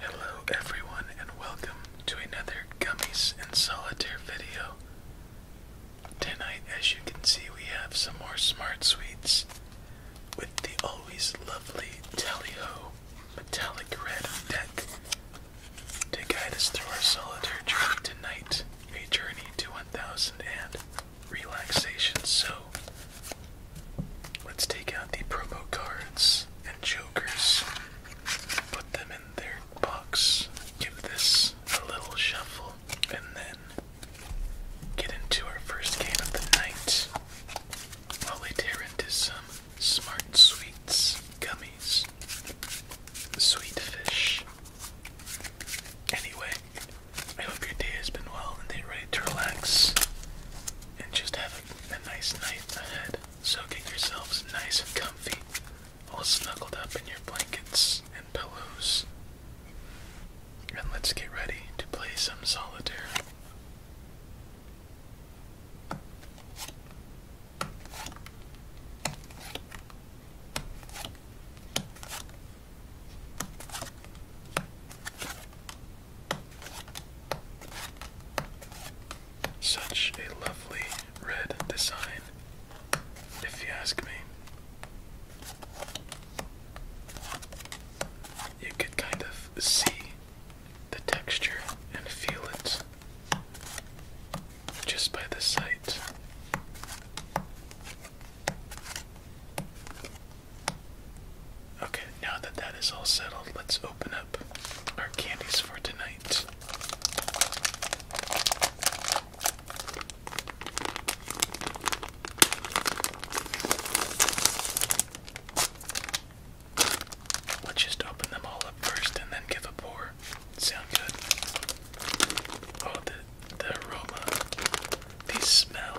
Hello everyone and welcome to another Gummies and Solitaire video. Tonight as you can see we have some more Smart Sweets with the always lovely Tally-Ho metallic red deck to guide us through our solitaire journey tonight, a journey to 1000 and relaxation. So let's take out the promo cards and jokers, put them in their box, give this a little shuffle, and then get into our first game of the night while we tear into some smart sweets, gummies, sweet fish. Anyway, I hope your day has been well and you're ready to relax and just have a, nice night ahead. So get yourselves nice and comfy, all snuggled up in your blankets and pillows. And let's get ready to play some solitaire. Such a lovely red design, if you ask me. You could kind of see the texture and feel it just by the sight. Okay, now that that is all settled, let's open up our candies for tonight. Let's just open them all up first and then give a pour. Sound good? Oh, the, the aroma, the smell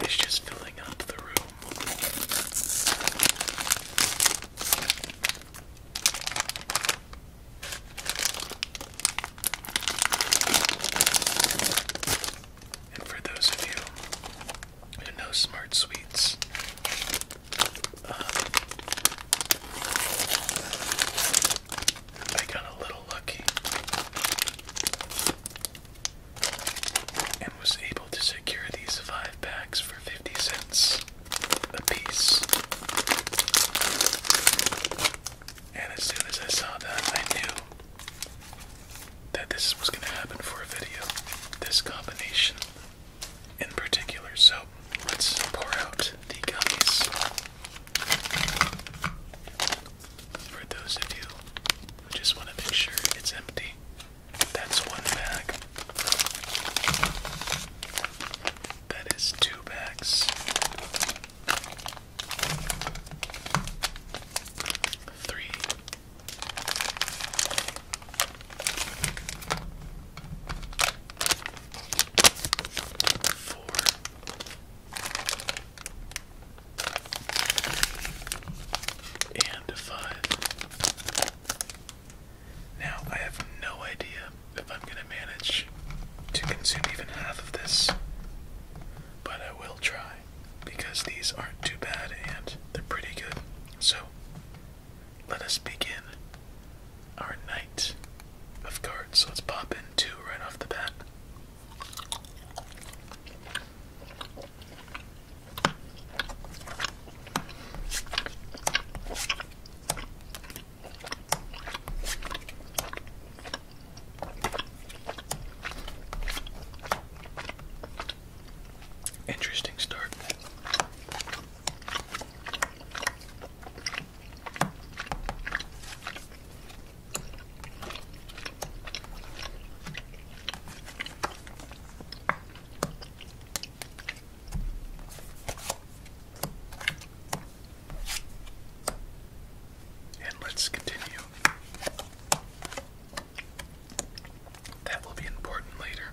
it's just filling up the room. And for those of you who know smart sweets, I got a little lucky and was able to secure these five packs for 50 cents a piece. And as soon as I saw that, I knew that this was going to happen for a video, this combination in particular. So let's pour out the gummies. For those of you who just want to make sure it's empty, that's one bag. That is two bags. Three. Four. And five. Now I have no idea if I'm gonna manage to consume even half of this, but I will try because these aren't too bad and they're pretty good. So let us begin our night of cards. So let's pop in two right off the bat. Interesting start. And let's continue. That will be important later.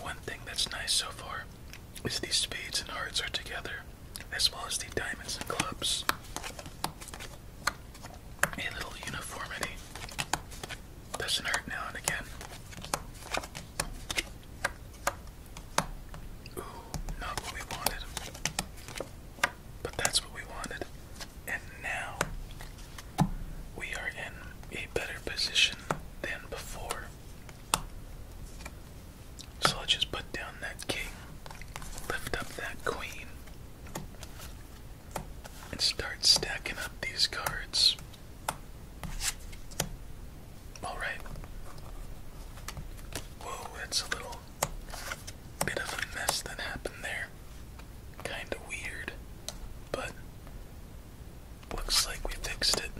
One thing that's nice so far is these spades and hearts are together, as well as the diamonds and clubs. A little uniformity doesn't hurt now and again. Ooh, not what we wanted. But that's what we wanted. And now we are in a better position than before. So I'll just put down that king, lift up that queen, and start stacking up these cards. Alright. Whoa, that's a little bit of a mess that happened there. Kinda weird, but looks like we fixed it.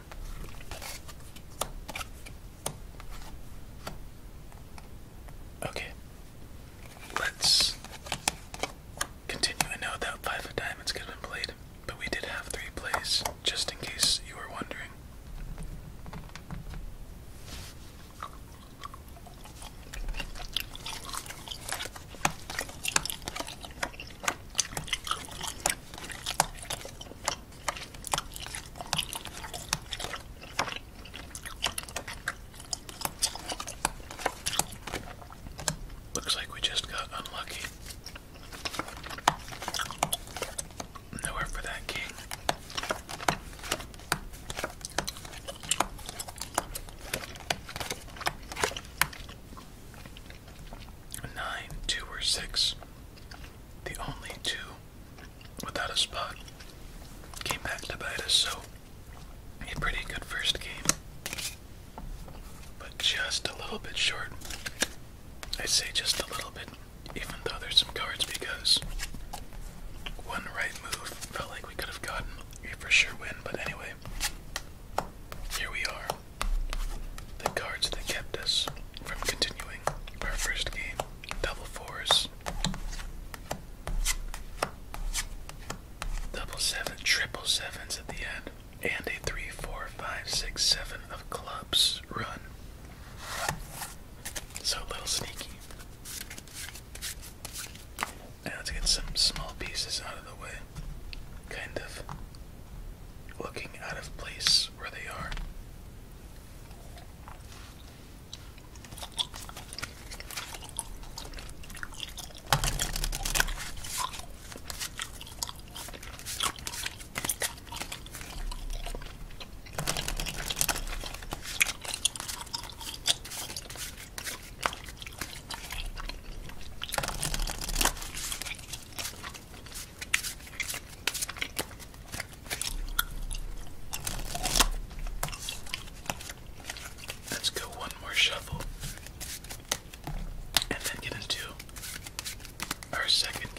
Okay, let's continue. I know that five of diamonds could have been played, but we did have three plays, just in case you were wondering. Looks like we just got unlucky. Nowhere for that king. Nine, two, or six. The only two without a spot came back to bite us, so a pretty good first game. But just a little bit short. I say just a little bit even though there's some cards because one right move felt like we could have gotten a for sure win, but anyway, here we are. The cards that kept us from continuing our first game, double fours, double seven, triple sevens at the end, and a three, four, five, six, seven of clubs run. So a little sneaky. Now let's get some small pieces out of the way. Kind of looking out of place where they are. Let's go one more shuffle and then get into our second game.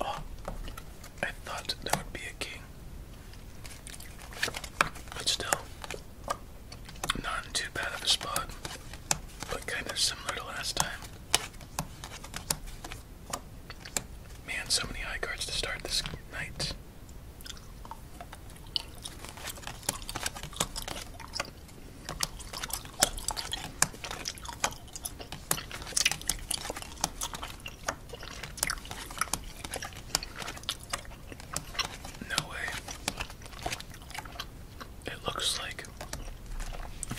Oh, I thought there would be a king, but still, not too bad of a spot, but kind of similar to last time. Man, so many high cards to start this night. No way. It looks like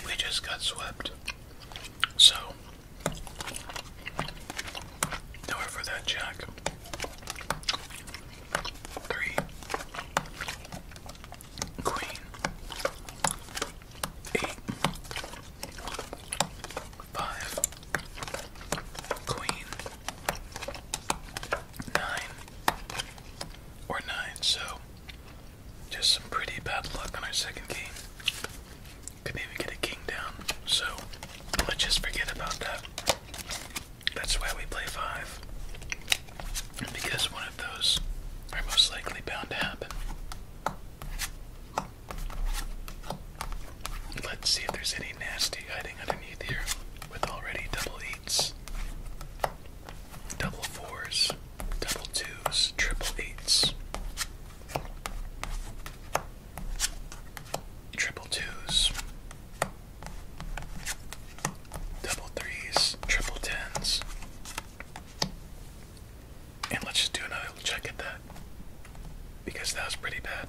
we just got swept. So, nowhere for that jack. Three, Queen. Eight. Five. Queen. Nine. Or nine, so just some pretty bad luck on our second game. Couldn't even get a king down, so let's just forget about that. That's why we play five. Because one of those are most likely bound to happen. Let's see if there's any nasty hiding underneath here with already double eights, double fours, double twos, triple eights, triple twos, double threes, triple tens. And let's just do another check at that. Because that was pretty bad.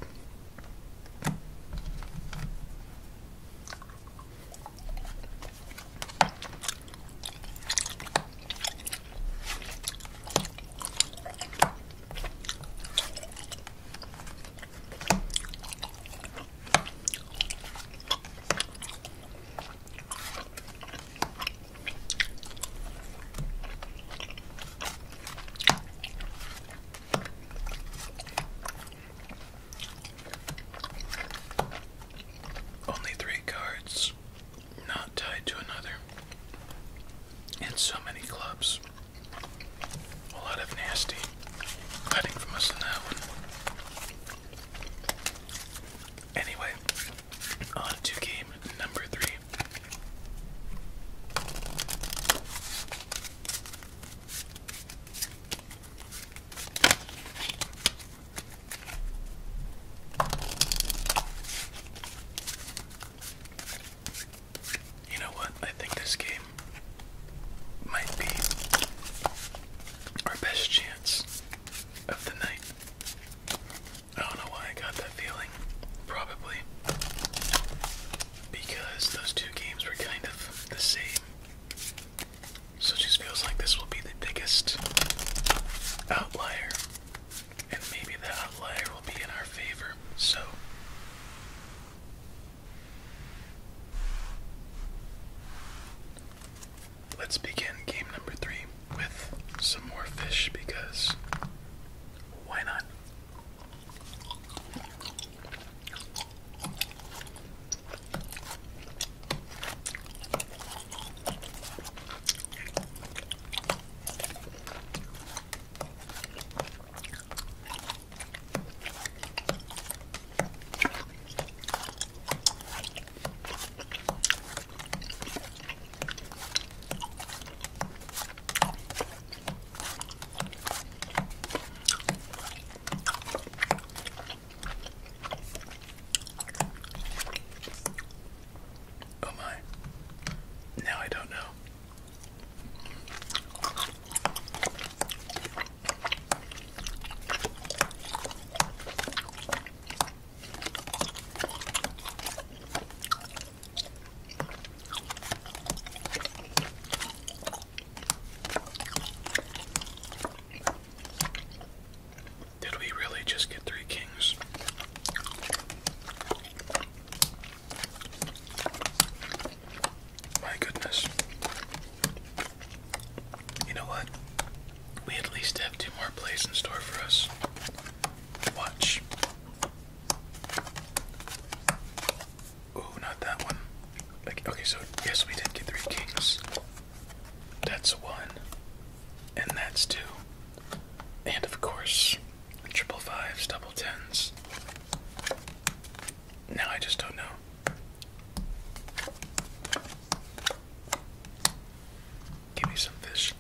Only three cards, not tied to another, and so many clubs. A lot of nasty cutting from us in that one. Anyway, on to game number three. You know what? I think this game might be our best chance of the night. I don't know why I got that feeling. Probably because those two games were kind of the same. So just feels like this will be the biggest outlier. And maybe that outlier will be in our favor. So let's begin game number three with some more fish because why not? Oh my. Now I don't know. Did we really just get three kings? My goodness. You know what? We at least have two more plays in store for us. Watch. Oh, not that one. okay, so yes, we did get three kings. That's one, and that's two, and of course, triple fives, double tens. Now I just don't know. Give me some fish.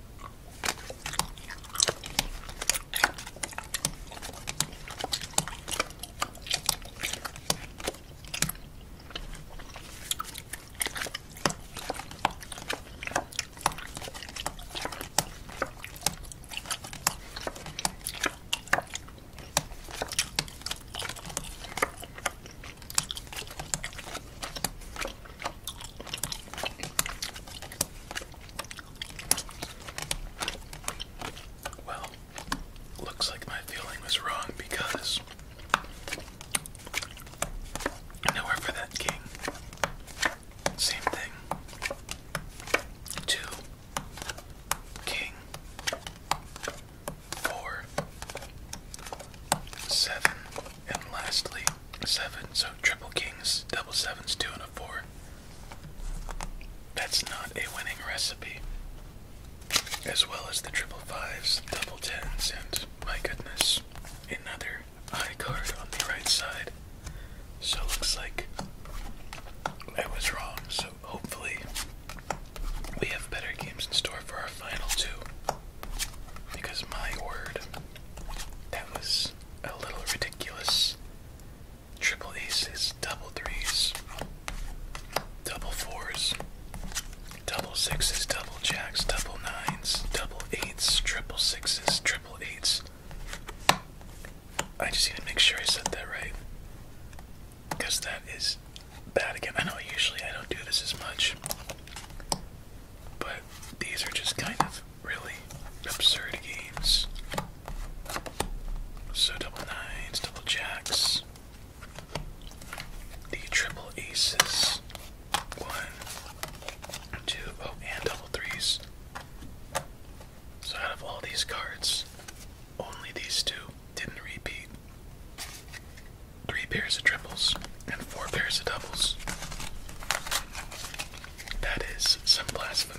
Well, looks like my feeling was wrong because nowhere for that king. Same thing. Two. King four, seven, and lastly seven. So triple kings, double sevens, two and a four. That's not a winning recipe. As well as the triple fives, double tens, and my goodness, another high card on the right side. So looks like I was wrong. So hopefully we have better games in store for our final two. Because my word, that was a little ridiculous. Triple aces, double threes, double fours, double sixes, double jacks, double nines, double eights, triple sixes, triple eights. I just need to make sure I said that right because that is bad again. I know usually I don't do this as much, but these are just kind of really absurd games. So double nines, double jacks, the triple aces, one, two, oh, and double threes. So out of all these cards, only these two didn't repeat three pairs of triples, and four pairs of doubles. That is some blasphemy.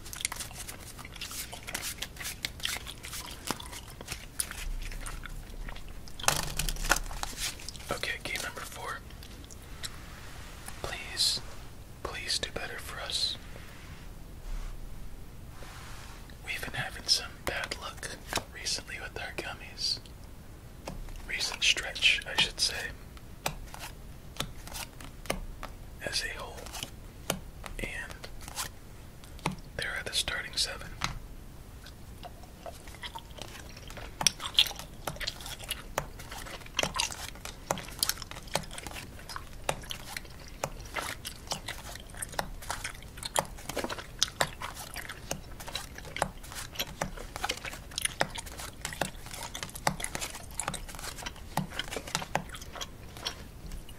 Okay, game number four. Please, please do better for us. We've been having some bad luck recently with our gummies. Recent stretch, I should say as a whole. And they're at the starting seven.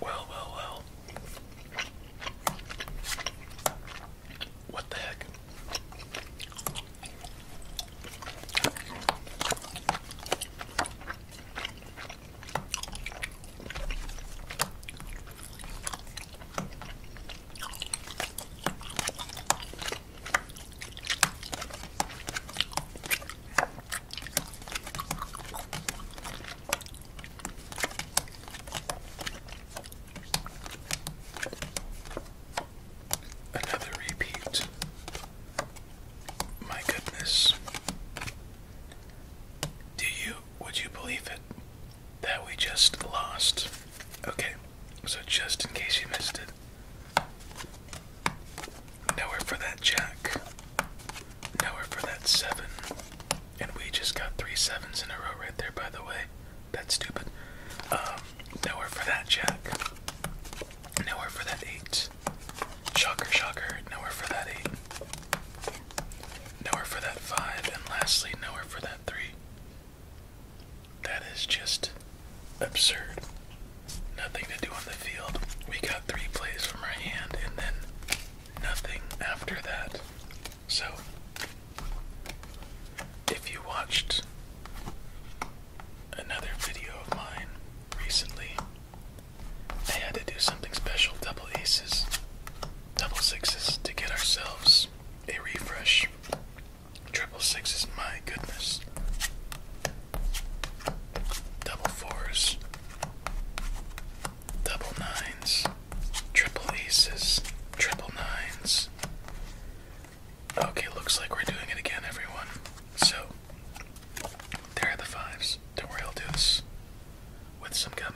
Well, well, well. What the heck? Another repeat. My goodness. Do you, would you believe it? That we just lost. Okay, so just in case you missed it, Nowhere for that jack. Nowhere for that seven. And we just got three sevens in a row right there, by the way. That's stupid. Um, nowhere for that jack. Nowhere for that eight. Shocker, shocker. Nowhere for that eight. Nowhere for that five. And lastly, nowhere for that three. That is just absurd. Nothing to do on the field. We got three plays from our hand and then nothing after that. So, if you watched another video of mine recently, I had to do something special double aces, double sixes to get ourselves a refresh. Triple sixes, my goodness. Double fours. Double nines. Triple aces. Triple nines. Okay, looks like we're doing it again, everyone. So, there are the fives. Don't worry, I'll do this with some gummy.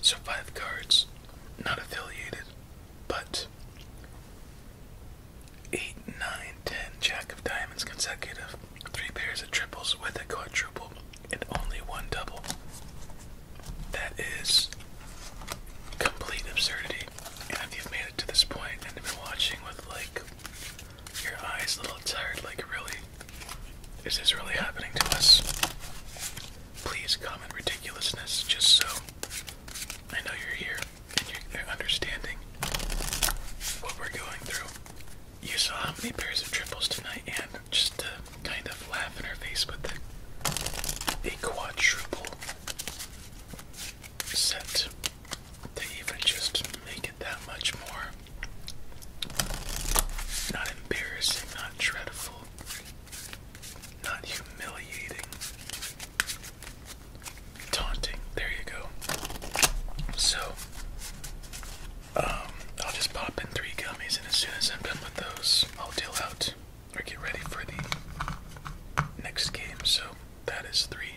So, five cards, not affiliated, but 8, 9, Jack of Diamonds consecutive, 3 pairs of triples with a quadruple, and only one double. That is complete absurdity. And if you've made it to this point and been watching with like your eyes a little tired, like really. Is this really happening to us? Please comment ridiculousness just so I know you're here and you're understanding what we're going through. You saw how many pairs of triples tonight, and just to kind of laugh in her face with it, a quadruple set they even just make it that much more not embarrassing, not dreadful, not humiliating, taunting. There you go. So, um, I'll just pop in three gummies, and as soon as I'm done with those, I'll deal out or get ready for the next game. So, that is three.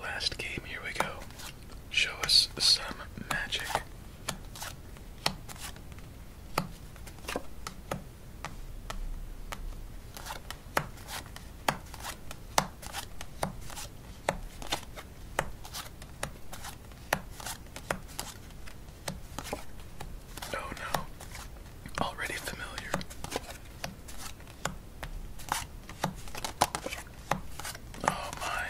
Last game, here we go. Show us some magic. Oh no, already familiar. Oh my.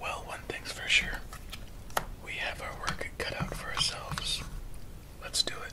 Well, one thing's for sure. We have our work cut out for ourselves. Let's do it.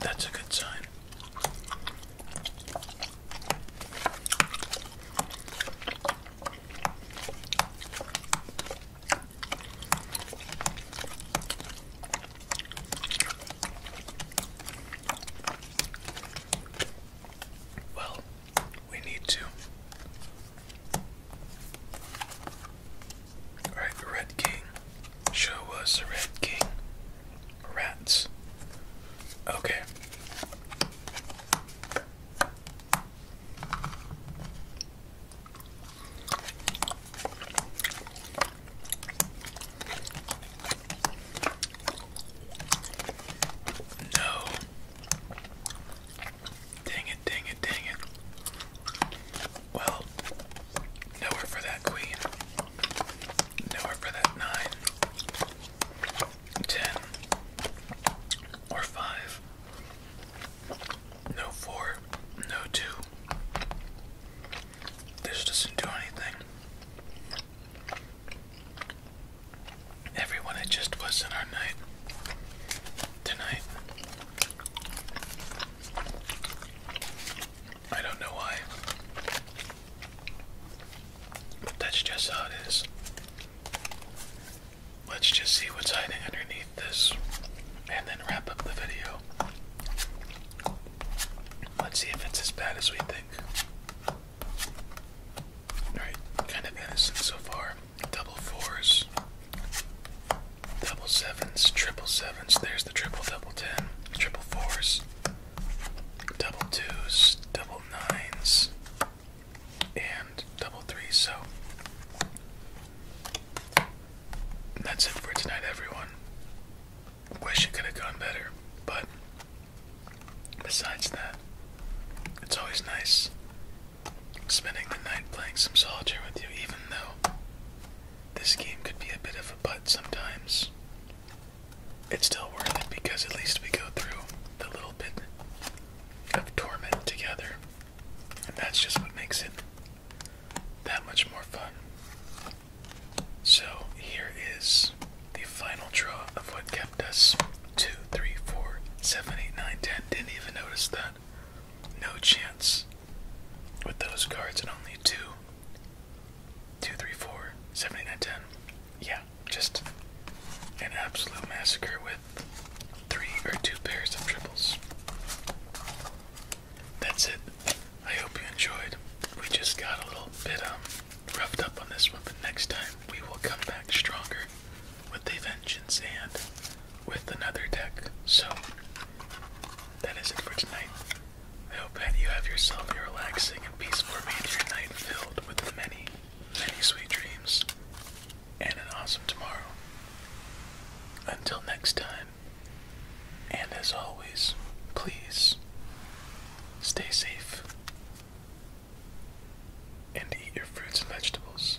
That's a good sign. Well, we need to. Alright, Red King. Show us the Red King. Rats. Okay. No. Dang it, dang it, dang it. Well, nowhere for that queen. Nowhere for that nine ten or five. No four, no two. This doesn't do anything. Everyone, it just wasn't our night tonight. I don't know why, that's just how it is. Let's just see what's hiding underneath this and then wrap up the video. Let's see if it's as bad as we think. Alright, kind of innocent so far. Double fours, double sevens, triple sevens. There's the triple, double ten, triple fours, double twos, double nines, and double three. So that's it for tonight, everyone. Wish it could have gone better, but besides that, it's always nice spending the night playing some solitaire with you, even though this game could be a bit of a butt sometimes it's still worth it because at least we go through the little bit of torment together. And that's just what makes it that much more fun. So here is the final draw of what kept us 2, 3, 4, 7, 8, 9, 10. Didn't even notice that. No chance with those cards and only 2, 2, 3, 4, 7, 8, 9, 10. Yeah, just an absolute massacre with three or two pairs of triples. That's it. I hope you enjoyed. We just got a little bit um, roughed up on this one, but next time we will come back stronger with the vengeance and with another deck. So that is it for tonight. I hope that you have yourself a relaxing and peaceful remainder night filled with many many sweet dreams, and an awesome tomorrow. Until next time, and as always, please stay safe and eat your fruits and vegetables.